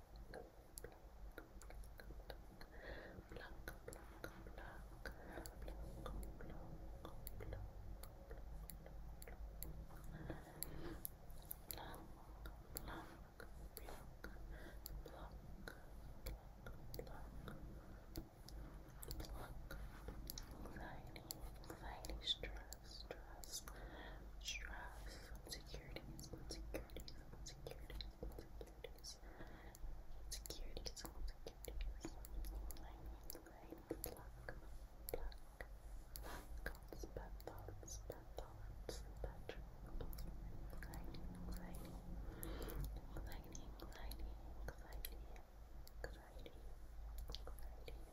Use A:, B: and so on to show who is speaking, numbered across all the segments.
A: anxiety,
B: anxiety, stress, stress, stress, insecurities, insecurities, insecurities, insecurities, insecurities, insecurities, language, luck, luck, luck, bad thoughts, bad thoughts, bad troubles, anxiety, anxiety, anxiety, anxiety, anxiety, anxiety, anxiety.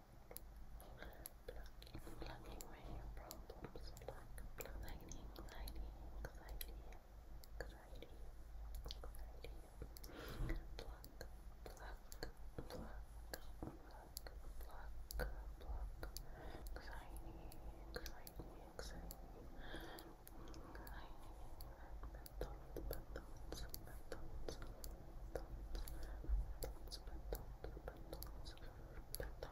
C: Plucking, plucking away your problems. Pluck, pluck, anxiety, anxiety, anxiety, anxiety, anxiety.
D: Pluck, pluck, pluck, pluck, pluck, pluck. Anxiety, anxiety, anxiety. Anxiety, thoughts, but thoughts, but thoughts, thoughts, but thoughts, but thoughts, but thoughts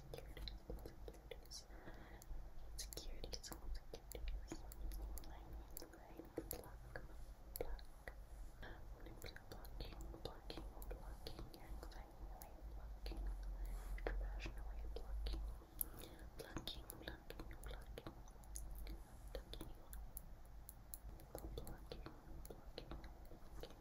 D: insecurities, insecurities, insecurities, insecurities, language, language, block, block, blocking, blocking, blocking, blocking, blocking, blocking, blocking, blocking, blocking, blocking, blocking.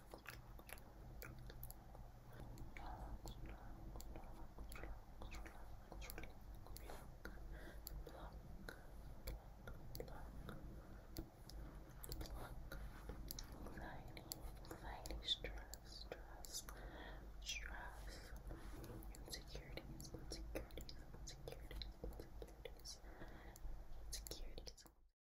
B: anxiety, stress, stress, stress, insecurities, insecurities, insecurities, insecurities, insecurities.